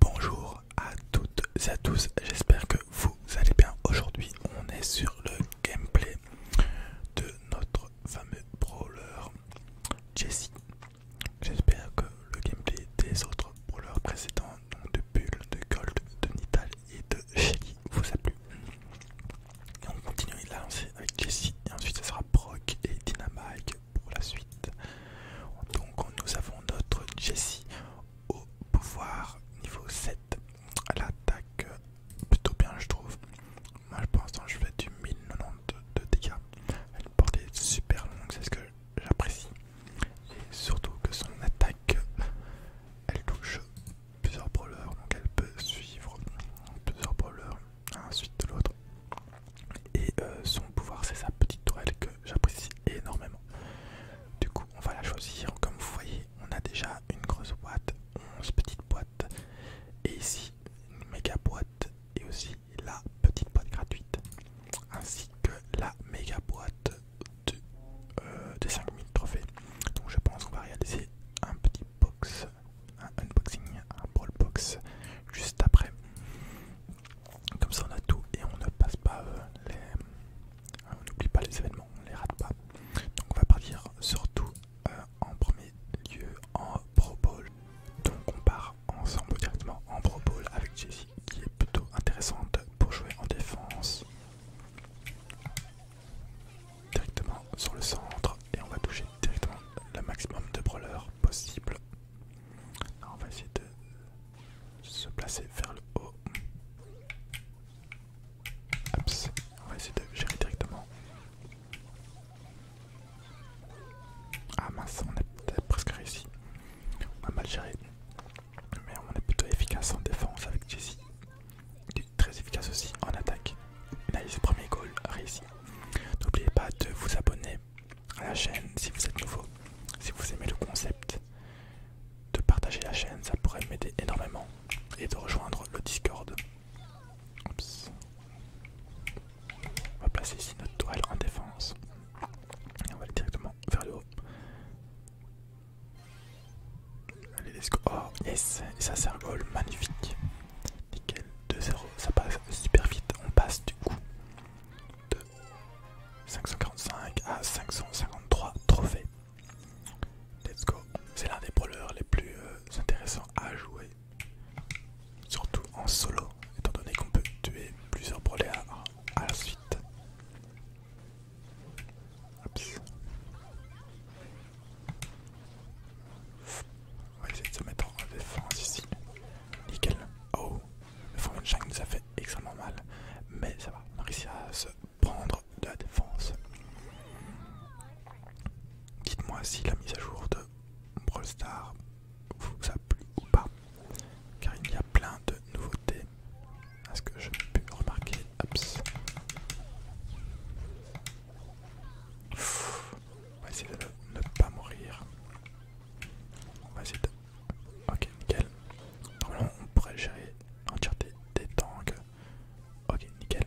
Bonjour à toutes et à tous, j'espère que vous allez bien. Aujourd'hui, on est sur le gameplay de notre fameux brawler jessie J'espère que le gameplay des autres brawlers précédents, donc de Bull, de Gold, de Nital et de Shelly, vous a plu. Et on continue de lancer avec jessie et ensuite ce sera proc et Dynamite pour la suite. Donc nous avons notre Jessie au pouvoir niveau 7. Elle attaque plutôt bien je trouve. Moi je pense que hein, je fais du 1092 de dégâts. Elle porte est super longue, c'est ce que j'apprécie. Et surtout que son attaque, elle touche plusieurs brawlers, donc elle peut suivre plusieurs brawlers, ensuite suite de l'autre. Et euh, son pouvoir, c'est sa petite tourelle que j'apprécie énormément. Du coup, on va la choisir. Comme vous voyez, on a déjà une grosse boîte, 11 petites boîtes, et ici une méga boîte, et aussi la petite boîte gratuite, ainsi que la méga boîte de, 5000 euh, trophées. Donc, je pense qu'on va réaliser un petit box, un unboxing, un ball box juste après. Comme ça on a tout et on ne passe pas euh, les... Euh, on n'oublie pas les événements, on les rate pas. Donc on va partir surtout euh, en premier lieu en Pro Bowl. Donc on part ensemble directement en Pro Bowl avec Jessie qui est plutôt intéressante pour jouer en défense. Directement sur le centre et on va toucher directement le maximum de brawlers possible on va essayer de se placer vers le haut. On va essayer de gérer directement. Ah mince, on est presque réussi. On a mal géré. Mais on est plutôt efficace en défense avec Jessie. très efficace aussi en attaque. Nice, premier goal réussi. N'oubliez pas de vous abonner à la chaîne si vous êtes nouveau. Si vous aimez le concept de partager la chaîne, ça pourrait m'aider énormément. Et de rejoindre le Discord. On va placer ici notre toile en défense. Et on va aller directement vers le haut. Allez, let's go. Oh, yes, et ça c'est un goal magnifique. Nickel, 2-0, ça passe super vite. On passe du coup 545 à 553 trophées. Let's go. C'est l'un des brawlers les plus euh, intéressants à jouer. Surtout en solo, étant donné qu'on peut tuer plusieurs brawlers à, la suite. On va essayer de se mettre en défense ici. Nickel. Oh, le de 5 nous a fait extrêmement mal. Mais ça va, on a à se prendre de la défense. Dites-moi si la mise à jour de Brawl Stars vous a plu ou pas. Car il y a plein de nouveautés. À ce que je pu remarquer. on va essayer de ne pas mourir. On va essayer de... Ok, nickel. Normalement, on pourrait gérer l'entièreté des tanks. Ok, nickel.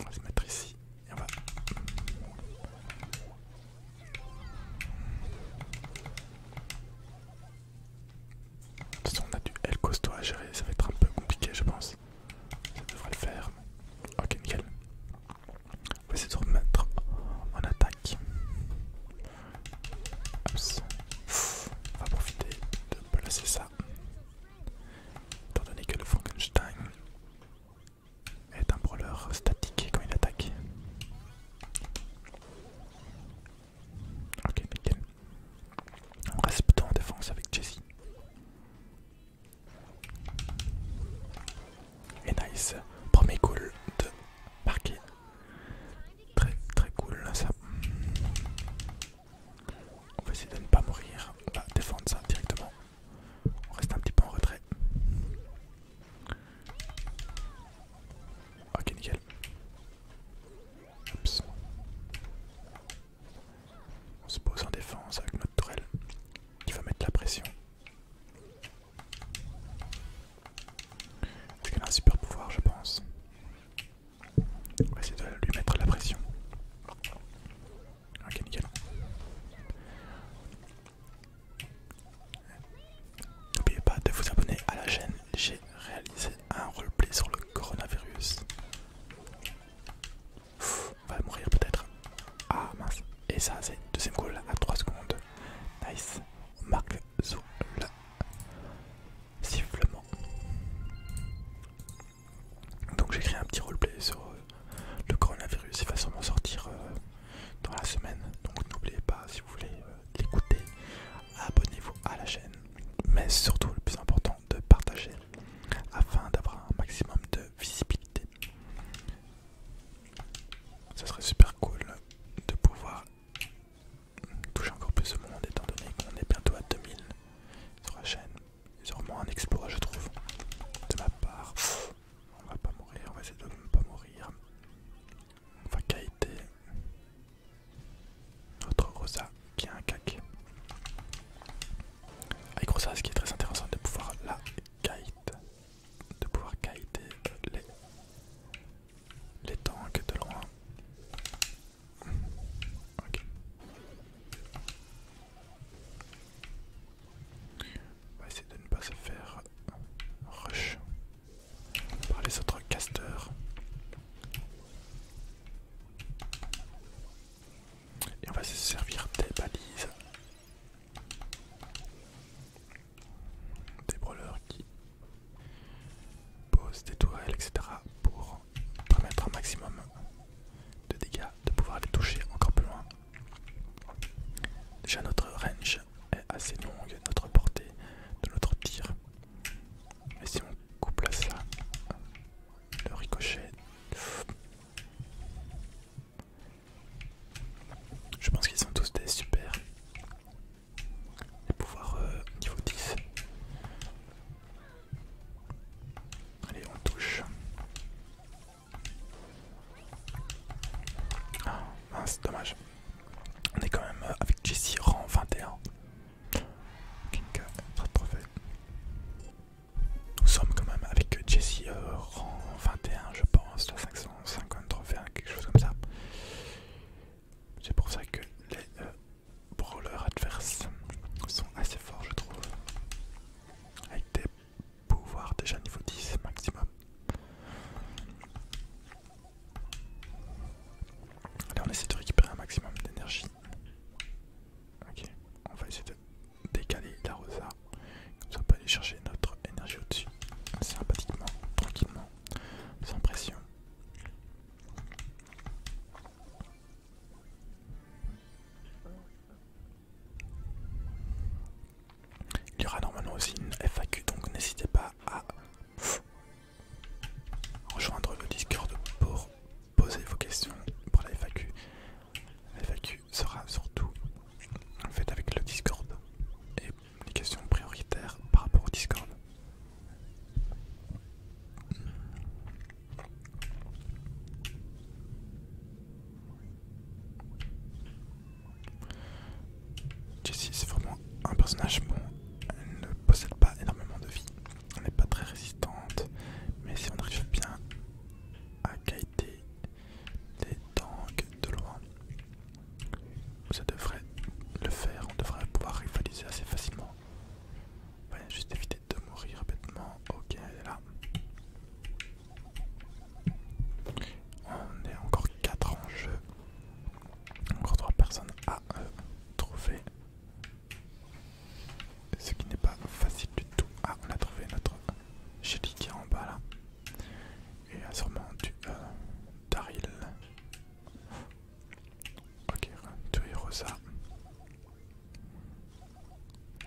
On va se mettre ici et on va... De toute façon, on a du L costaud à gérer, ça va être un peu compliqué, je pense. Ça devrait le faire. Ok, nickel. On va essayer de remettre en attaque. On va profiter de placer ça. Étant donné que le Frankenstein est un brawler statique quand il attaque. Ok, nickel. On reste plutôt en défense avec Jessie. Et nice, premier cool de parking. Très très cool ça. On va essayer de ne pas mourir, on va défendre ça directement. On reste un petit peu en retrait. Ok nickel. On se pose en défense avec notre tourelle qui va mettre la pression c'est un super pouvoir, je pense. On va essayer de lui mettre la pression. Ok, nickel. N'oubliez pas de vous abonner à la chaîne, j'ai réalisé un roleplay sur le coronavirus. on va mourir peut-être. Ah mince. Et ça, c'est deuxième goal à 3 secondes. Nice. On marque sifflement. Donc j'ai créé un petit roleplay sur euh, le coronavirus. Il va sûrement sortir euh, dans la semaine. Donc n'oubliez pas, si vous voulez euh, l'écouter, abonnez-vous à la chaîne. Mais surtout, le plus important, de partager afin d'avoir un maximum de visibilité. Ça serait super cool de pouvoir toucher encore plus de monde étant donné qu'on est bientôt à 2000 sur la chaîne. C'est vraiment un exploit je trouve. De ma part, on va pas mourir, on va essayer de ne pas mourir. On va kaiter notre Rosa qui a un cac. Avec Rosa, ce qui est très intéressant de pouvoir la kite de pouvoir guider les, les tanks de loin. Ok. On va essayer de ne pas se faire rush par les autres casteurs. Et on va se servir des balises des brûleurs qui posent des tourelles, etc. pour permettre un maximum de dégâts, de pouvoir les toucher encore plus loin. Déjà notre range est assez longue, notre portée de notre tir. Mais si on couple à ça, le ricochet... Je pense qu'ils sont tous des super. Les pouvoirs euh, niveau 10. Allez, on touche. Ah, mince, dommage. On est quand même euh, avec Jessie rang 21. King euh, pas Nous sommes quand même avec Jessie rang 21, je pense, la 500. 250 hein, quelque chose comme ça. C'est pour ça que les euh, brawlers adverses sont assez forts, je trouve. Avec des pouvoirs déjà niveau 10 maximum. Allez on essaie de récupérer un maximum d'énergie. Ok, on va essayer de décaler la rosa on aller chercher notre énergie au-dessus, sympathiquement, tranquillement, sans pression. Il y aura normalement aussi une FAQ, donc n'hésitez pas à rejoindre le Discord pour poser vos questions pour La FAQ sera surtout en fait avec le Discord et les questions prioritaires par rapport au Discord. Jessie c'est vraiment un personnage bon, elle ne possède pas énormément de vie, elle n'est pas très résistante, mais si on arrive bien à guider des tanks de loin. Ça devrait le faire, on devrait pouvoir rivaliser assez facilement. juste éviter de mourir bêtement. Ok, là. On est encore 4 en jeu. Encore 3 personnes à euh, trouver. Ce qui n'est pas facile du tout. Ah, on a trouvé notre jelly qui est en bas là et sûrement du euh, Daryl. Ok, tuer Rosa.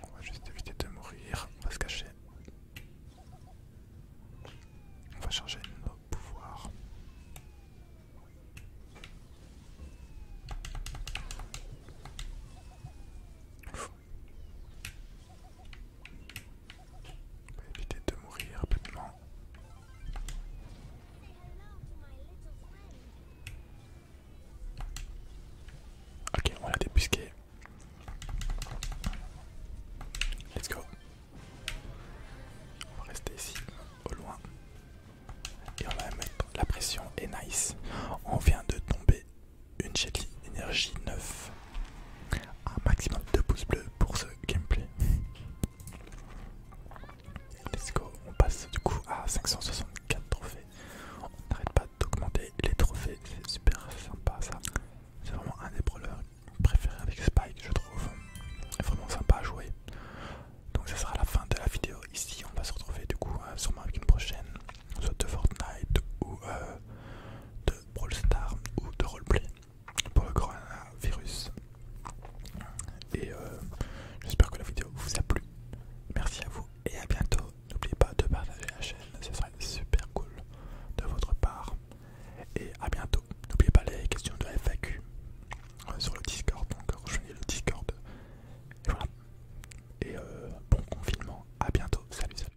On va juste éviter de mourir, on va se cacher. On va changer nos pouvoirs. On va éviter de mourir rapidement. Ok, on l'a débusquer. Let's go. On va rester ici, au loin. Et on va mettre la pression. Et nice. On vient de tomber une Shelly énergie 9. Un maximum de pouces bleus pour ce gameplay. Let's go, on passe du coup à 564 trophées. On n'arrête pas d'augmenter les trophées, c'est super sympa ça. C'est vraiment un des brawlers préférés avec Spike, je trouve. Vraiment sympa à jouer. Donc, ça sera la fin de la vidéo. Ici, on va se retrouver du coup euh, sûrement avec une prochaine, soit de Fortnite ou De... Euh, star ou de roleplay pour le coronavirus. Et euh, j'espère que la vidéo vous a plu. Merci à vous et à bientôt. N'oubliez pas de partager la chaîne, ce serait super cool de votre part. Et à bientôt. N'oubliez pas les questions de FAQ euh, sur le Discord, donc rejoignez le Discord. Et euh, bon confinement. À bientôt. salut.